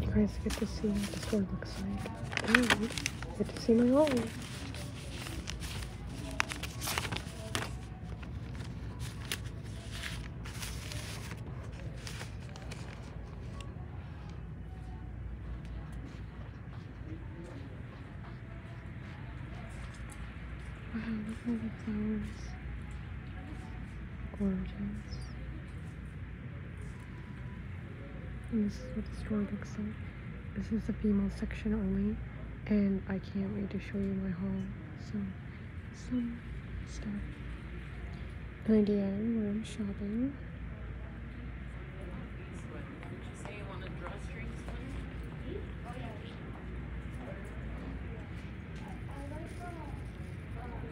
you guys get to see what the store looks like. And get to see my hallway. Wow, look at the Gorgeous. And this is what the store looks like. This is the female section only. And I can't wait to show you my haul. So, some stuff. An idea where I'm shopping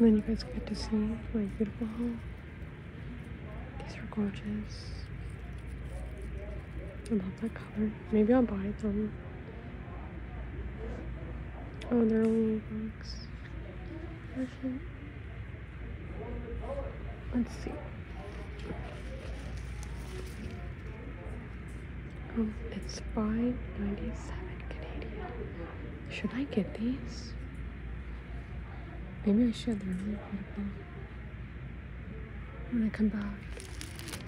then you guys get to see my beautiful home. These are gorgeous. I love that color. Maybe I'll buy them. Oh, they're only eight Let's see. Um, it's five ninety seven Canadian. Should I get these? Maybe I should. They're really beautiful. When I come back,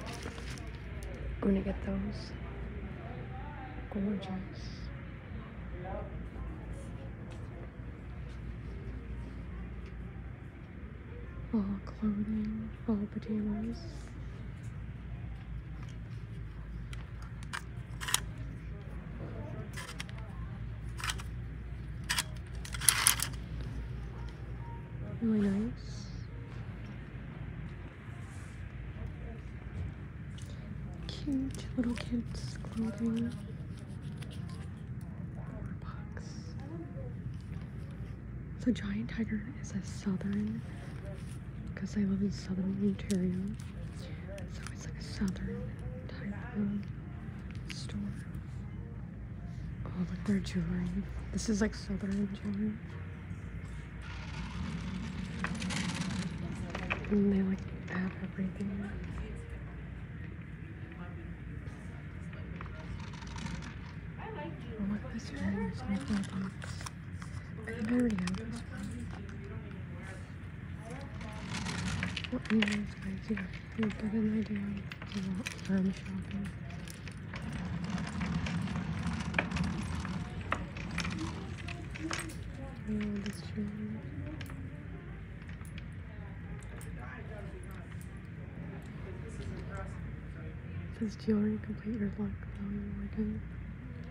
i gonna get those. Gorgeous. All clothing, all pajamas. Really nice. Cute little kids clothing. Box. The giant tiger is a southern because I live in southern Ontario. it's always like a southern type of store. Oh, look, their jewelry. This is like southern jewelry. And they like have everything. I oh, look, this ring is in a box. I think I already have what emails I do? You get an idea of what I'm shopping. Oh, this tree. It says jewelry complete your luck, Chloe Morgan.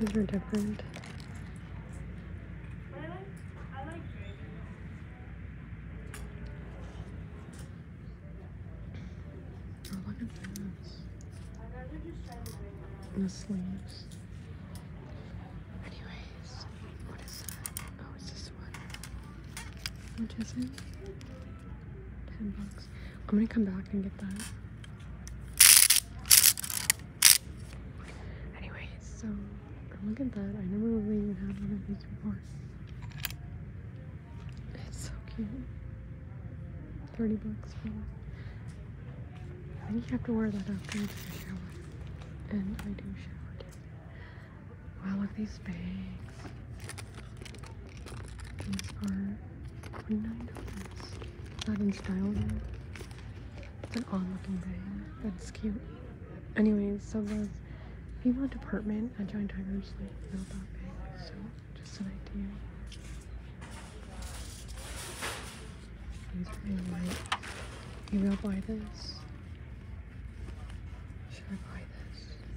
These are different. Oh, look at this. And the sleeves. Anyways, what is that? Oh, it's a sweater. Which is it? Ten bucks. I'm gonna come back and get that. Anyway, so look at that. I never really even had one of these before. It's so cute. 30 bucks for that. I think you have to wear that after you shower. And I do shower Wow, look at these bangs. These are $29. Not in style though. It's an odd looking thing. That's cute. Anyways, so the female department at Giant Tiger is like not that big. So just an idea. These are really light. Maybe will buy this. Should I buy this?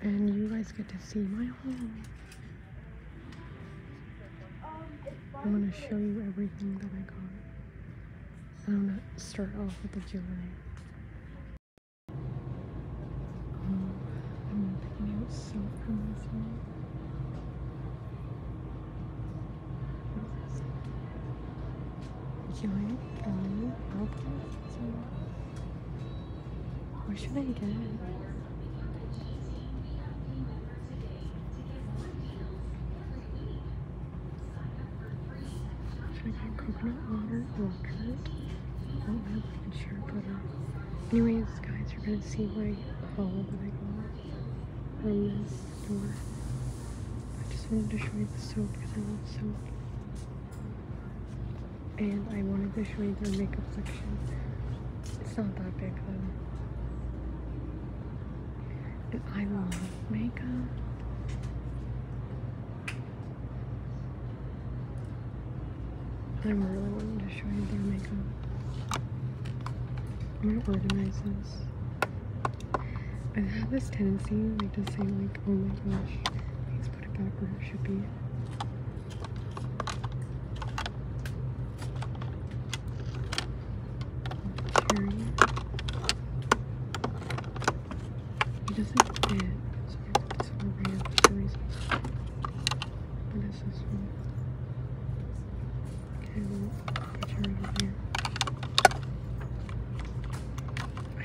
and you guys get to see my home. I'm going to show you everything that I got. And I'm going to start off with the jewelry. I'm picking out silk from this one. Where should I get it? Should I get coconut water, electrolyte? I don't know if I can share butter. Anyways, guys, you're gonna see what I haul that I got from this store. I just wanted to show you the soap because I love soap and I wanted to show you their makeup section. It's not that big though. And I love makeup. I'm really wanting to show you their makeup. I'm gonna organize this. I have this tendency like to say like, oh my gosh, please put it back where it should be. Period. doesn't fit, so I put this What is this one? Okay, we'll put her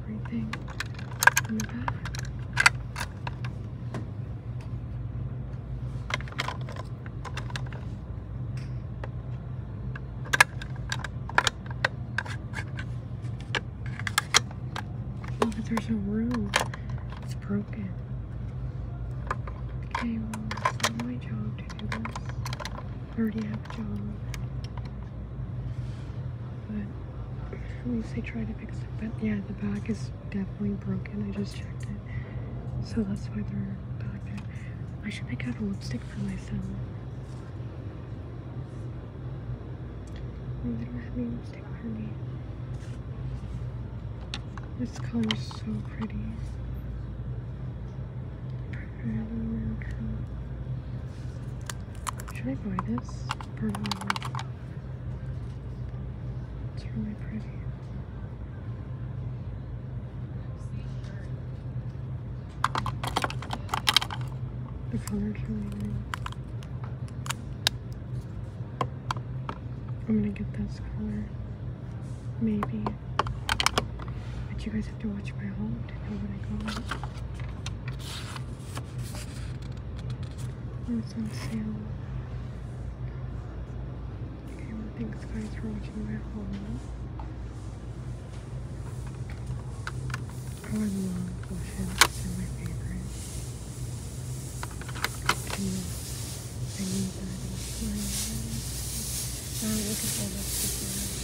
everything in the back. oh, there's a room. It's broken. Okay, well, it's not my job to do this. I already have a job. But at least I tried to fix it, but yeah, the back is definitely broken. I just checked it. So that's why they're back there. I should pick out a lipstick for myself. Oh, they don't have lipstick for me. This color is so pretty. Should I buy this? It's really pretty. The colors really nice. I'm gonna get this color. Maybe. But you guys have to watch my haul to know what I got. It's on sale. Okay, well, thanks guys for watching my haul. I love are my favorite. I need that I'm looking for this before.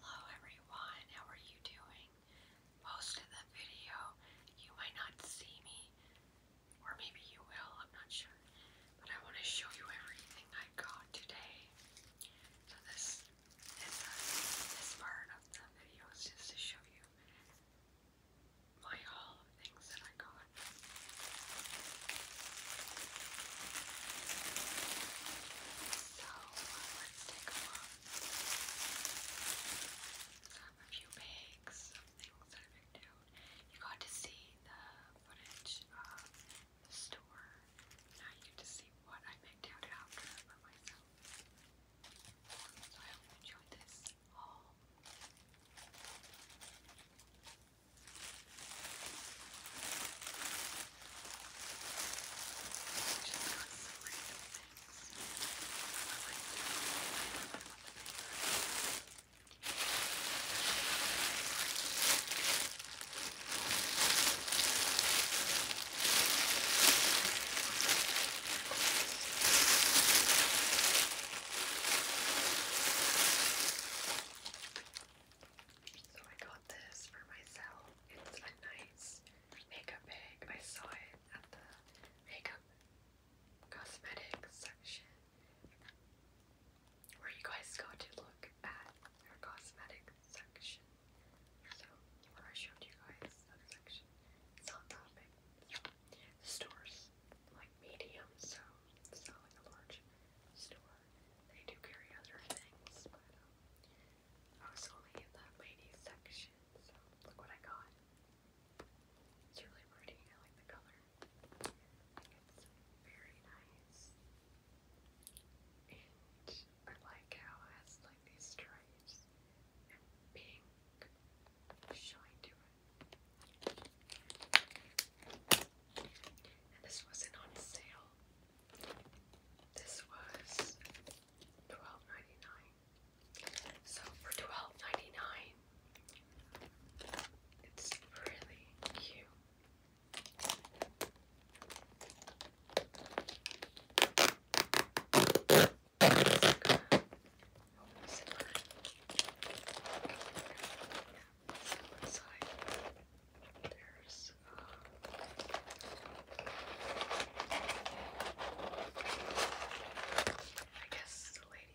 Hello everyone, how are you doing? Most the video you might not see me or maybe you will, I'm not sure. But I want to show you everything I got today. So this is uh, this part of the video is just to show you my haul of things that I got. So uh, let's take a look. I have a few bags of things that I've afternoon. You got to see the footage of the store. Now you get to see what I picked out So I hope you enjoyed this haul. Just got some so I got this for myself. It's a nice makeup bag. I saw it at the makeup cosmetics section where you guys got to look at their cosmetic section. So, where I showed you guys that section. It's not that big. So, the store's like medium, so it's not like a large store. They do carry other things, but um, I was only in that ladies section, so look what I got. It's really pretty. I like the color. It's very nice. And I like how it has like these stripes and pink showing to And this wasn't on sale. This was twelve ninety nine. So for twelve ninety nine, it's really cute. There's uh, I guess the lady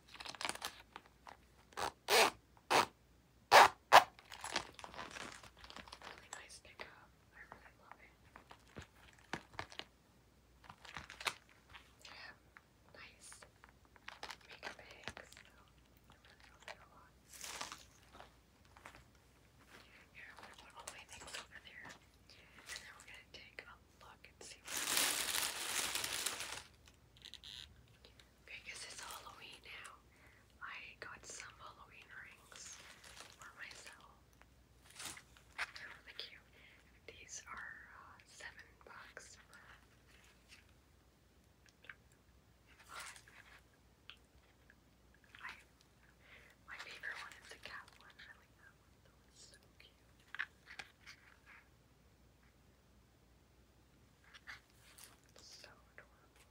Really nice pickup. I really love it. Yeah, nice makeup bags. I really put all my things over there. And then we're going to take look and see Okay, because it's Halloween now. I got some Halloween rings for myself. They're really cute. These are uh, seven bucks. I, my favorite one is the cat one. I like that one. That one's so cute. So adorable.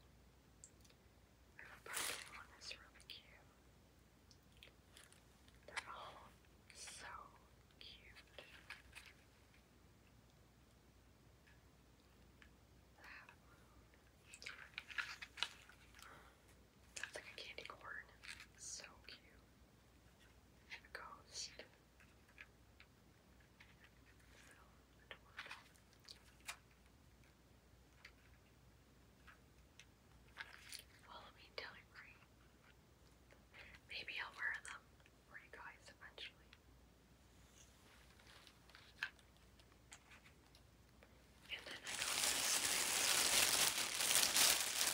the pumpkin one is really cute. They're all so cute. That's like a candy corn. So cute and ghost. So Follow me Maybe I'll wear them for you guys eventually. And then I got this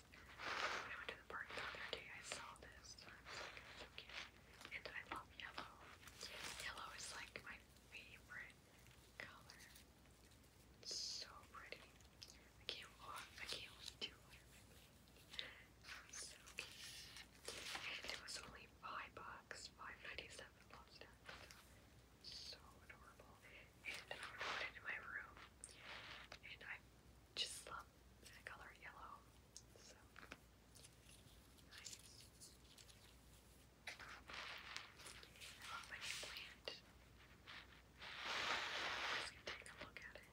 I went to the park the other day, I saw this, so cute. And I love yellow. Yellow is like my favorite color. so pretty. I can't walk, I can't look too much. so cute. And it was only five bucks, five ninety seven last time so adorable. And I put it in my room. And I just love the color yellow. So I love my new plant. I'm take a look at it.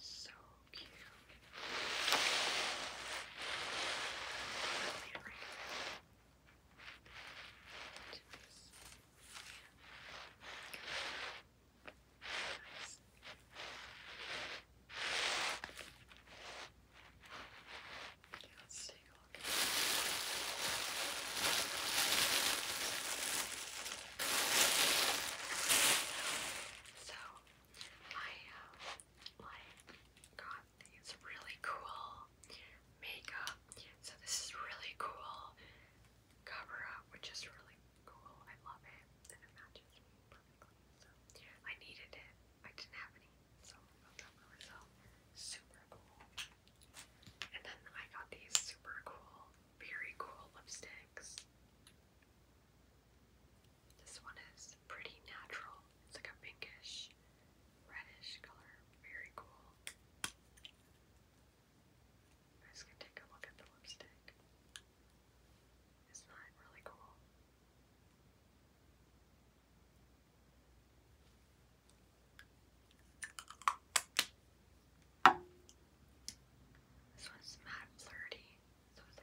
So cute. Let's take a look. So I uh, like got these really cool makeup. So this is really cool cover up, which is really cool. I love it, and it matches me perfectly. So I needed it. I didn't have any, so I got that for myself. Super cool. And then I got these super cool, very cool lipsticks. This one is pretty natural. It's like a pinkish, reddish color. Very cool. I'm just gonna take a look at the lipstick. Isn't that really cool? This one's matte flirty. So it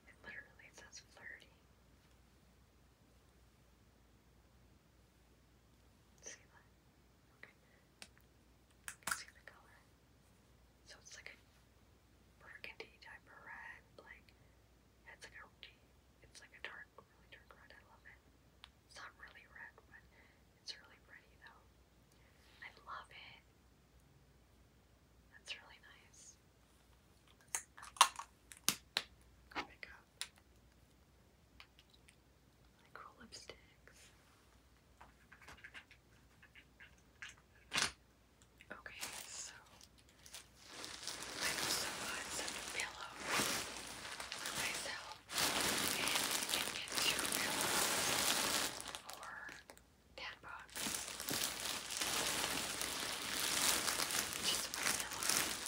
says flirty. So it's like a burgundy type of red, like it's like a it's like a dark, really dark red. I love it. It's not really red, but it's really pretty though. I love it. That's really nice. Go like lipsticks. Okay, so I also bought some pillows for myself, and you can get two pillows for ten bucks. Just one pillow.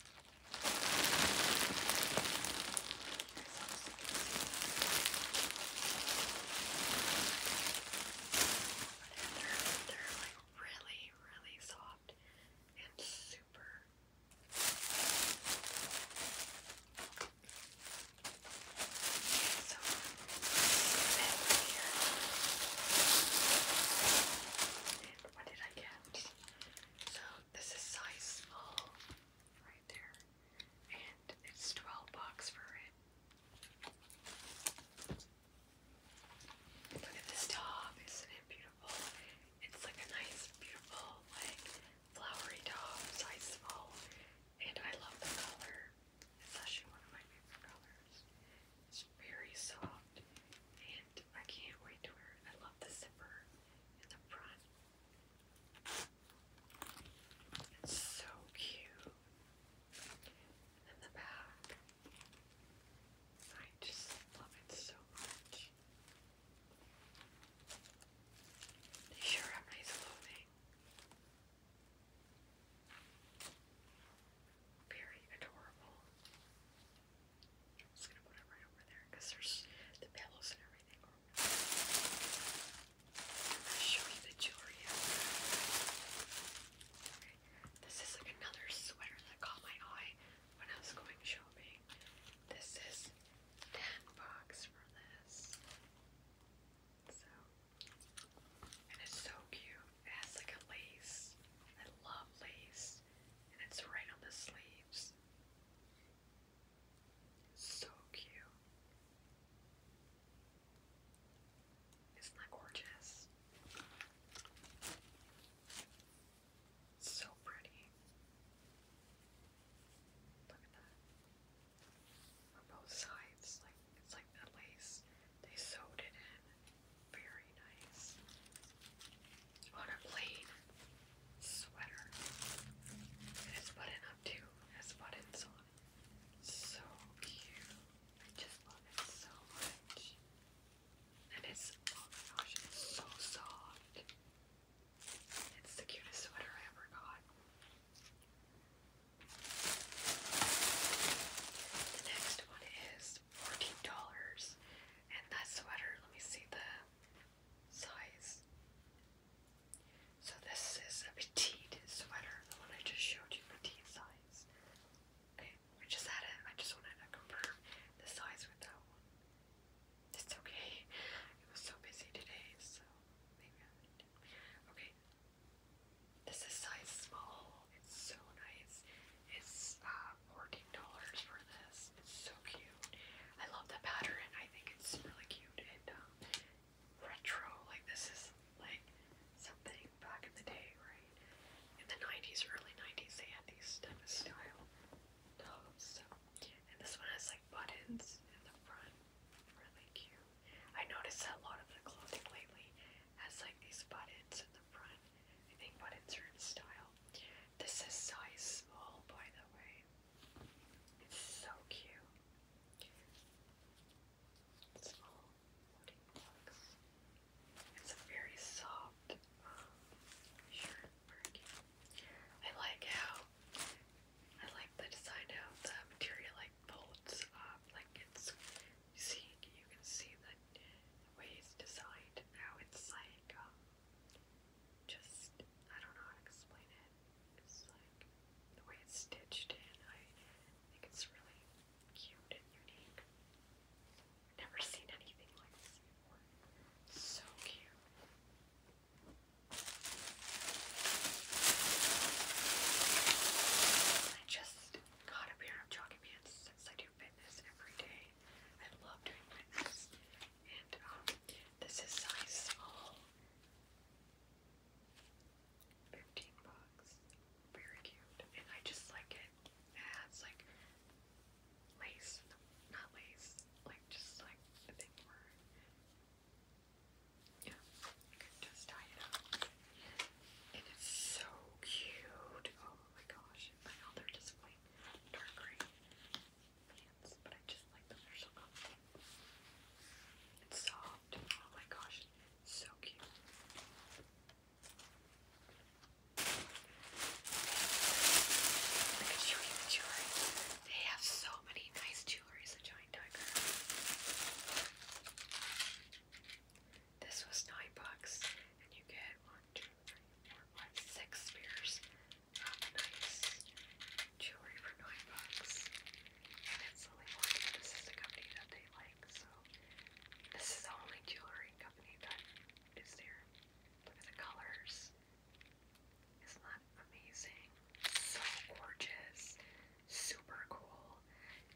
They're, they're like really, really soft and super. Okay, so this here what did I get? So this is size small right there. And it's 12 bucks for it. Look at this top, isn't it beautiful? It's like a nice, beautiful, like flowery top, size small. And I love the color. It's actually one of my favorite colors. It's very soft and I can't wait to wear it. I love the zipper in the front. It's so cute. And the back. I just love it so much. They sure have nice clothing. Very adorable. I'm just gonna put it right over there because there's the pillows and everything. I'm gonna show you the jewelry. This is like another sweater that caught my eye when I was going shopping. This is ten bucks for this. So, and it's so cute has like a lace. I love lace. And it's right on the sleeves. So cute. Isn't that gorgeous? So pretty. Look at that. On both sides, like it's like that lace. They sewed it in. Very nice. On a plain sweater. It is button up too. It has buttons So cute. I just love it so much. And it's, oh my gosh, it's so soft. It's the cutest sweater I ever got. The next one is fourteen dollars. And that sweater, let me see the size. So this is a petite sweater, the one I just showed you, petite size. Okay, I just had it. I just wanted to confirm the size with that one. It's okay. It was so busy today, so maybe I did. Okay. This is size small. It's so nice. It's uh $14 for this. It's so cute. I love the pattern. I think it's really cute and um, retro. Like this is like something back in the day, right? In the 90s, early 90s, they had these type of style toes. So. And this one has like buttons in the front. Really cute. I noticed a lot of the clothing lately has like these buttons in the front. I think, but in certain style. This is size small, by the way. It's so cute. Small floating box. It's a very soft um, shirt marking. I like how I like the design of the material like folds up, like it's see, you can see the, the designed now. It's like, um, just, I don't know how to explain it. It's like the way it's stitched in. I think it's really cute and unique. never seen anything like this before. So cute. I just got a pair of jogging pants since I do fitness every day. I love doing my And um, this is size small. Fifteen bucks. Very cute. And I just like it. It has like lace, not lace, like just like the thing where yeah, just tie it up. it's so cute. Oh, Oh my gosh, I know they're just like dark gray pants, but I just like them. They're so comfy. It's soft. Oh my gosh, so cute. the jewelry. They have so many nice jewelries at Giant Tiger. This was nine bucks, and you get one, two, three, four, five, six spears of nice jewelry for nine bucks. And it's only This is the company that they like, so this is the only jewelry company that is there. Look at the colors. Isn't that amazing? So gorgeous. Super cool.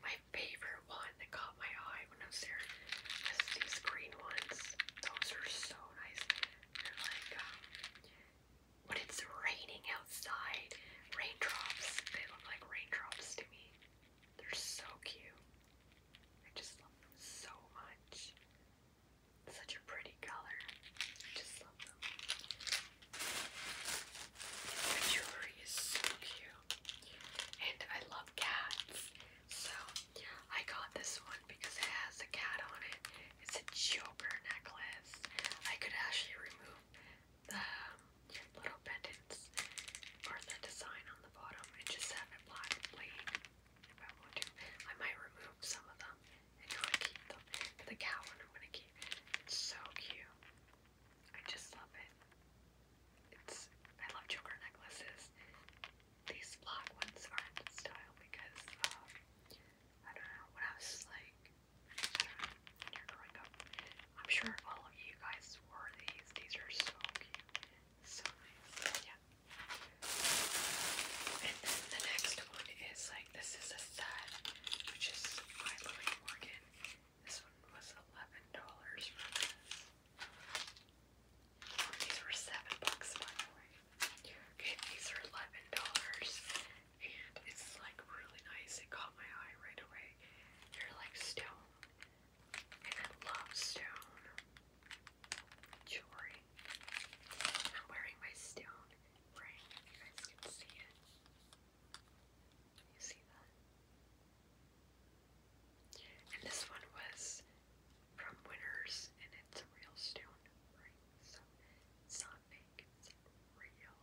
My favorite one that caught my eye when I was there is these green ones. Those are so nice. They're like um, when it's raining outside, raindrops. They look like raindrops to me. They're so cute. I just love them so much. Such a pretty color. I just love them. The jewelry is so cute. And I love cats. So I got this one because it has a cat on it. It's a choker necklace. I could actually remove the um, little pendants or the design on the bottom and just have it black plain if I want to. I might remove some of them and not keep them. But the cat one I'm gonna keep. It's so cute. I just love it. It's I love choker necklaces. These black ones are in style because um, I don't know when I was like when you're growing up. I'm sure all of you guys wore these. These are so cute, so Yeah. And then the next one is like this is a set which is by Morgan. This one was eleven dollars for this. These were seven bucks by the way. Okay, these are eleven dollars, and it's like really nice. It caught my eye right away. They're like stone, and I love stone jewelry. I'm wearing my stone ring. You guys can see it. You see that? And this one was from Winners, and it's a real stone ring, so it's it's real.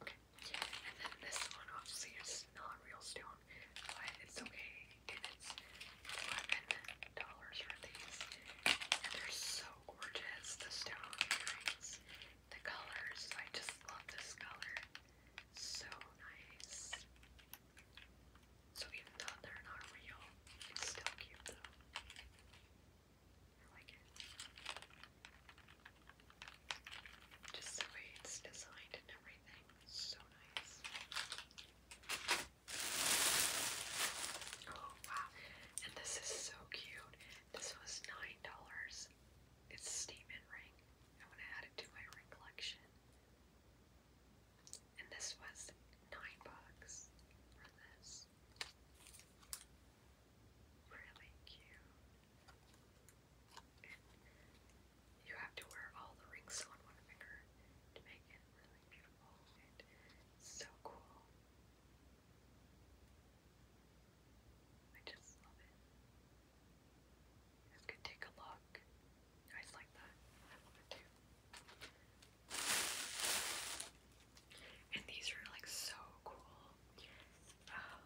Okay, and then this one obviously is not real stone, but it's okay, and it's $11 for these, and they're so gorgeous, the stone earrings, the colors, I just love this color. So nice. So even though they're not real, it's still cute though. I like it. Just the way it's designed and everything. So nice. Oh wow. And this is so cute. This was $9. It's a statement ring. I want to add it to my ring collection. And this was nine bucks for this. Really cute. you have to wear all the rings on one finger to make it really beautiful. And so cool. I just love it. You could take a look. You guys like that? I love it And these are like so cool. Um,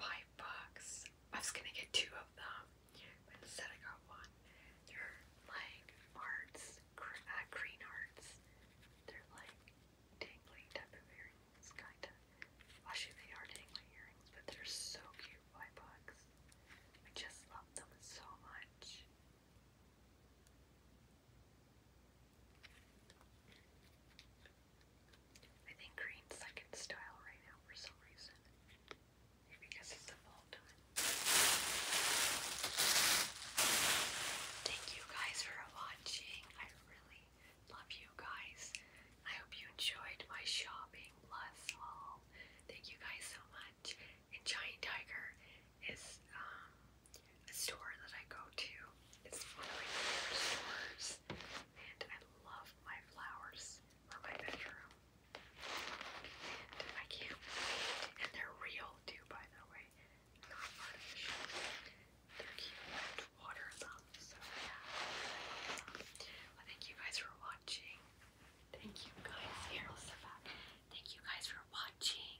five I was gonna get two of them, but instead I got one. They're like arts, cre uh, They're like dangling type it's kind of, actually they are taking my earrings, but they're so cute, white bugs. I just love them so much. I think green's like in style right now for some reason. because it's the fall time. Thank you guys for watching. I really love you guys. I hope you enjoyed my shopping plus haul. Thank you guys so much. And Giant Tiger is um, a store that I go to. It's one of my favorite stores. And I love my flowers for my bedroom. And I can And they're real too, by the way. Not artificial. They're cute water So yeah, well, thank you guys for watching. Thank you guys here. Thank you guys for watching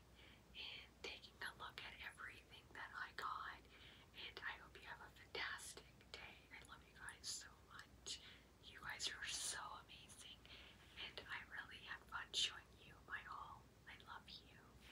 and taking a look at everything that I got. And I hope you have a fantastic day. I love you guys so much. You guys are so amazing. And I really had fun showing you my haul. I love you.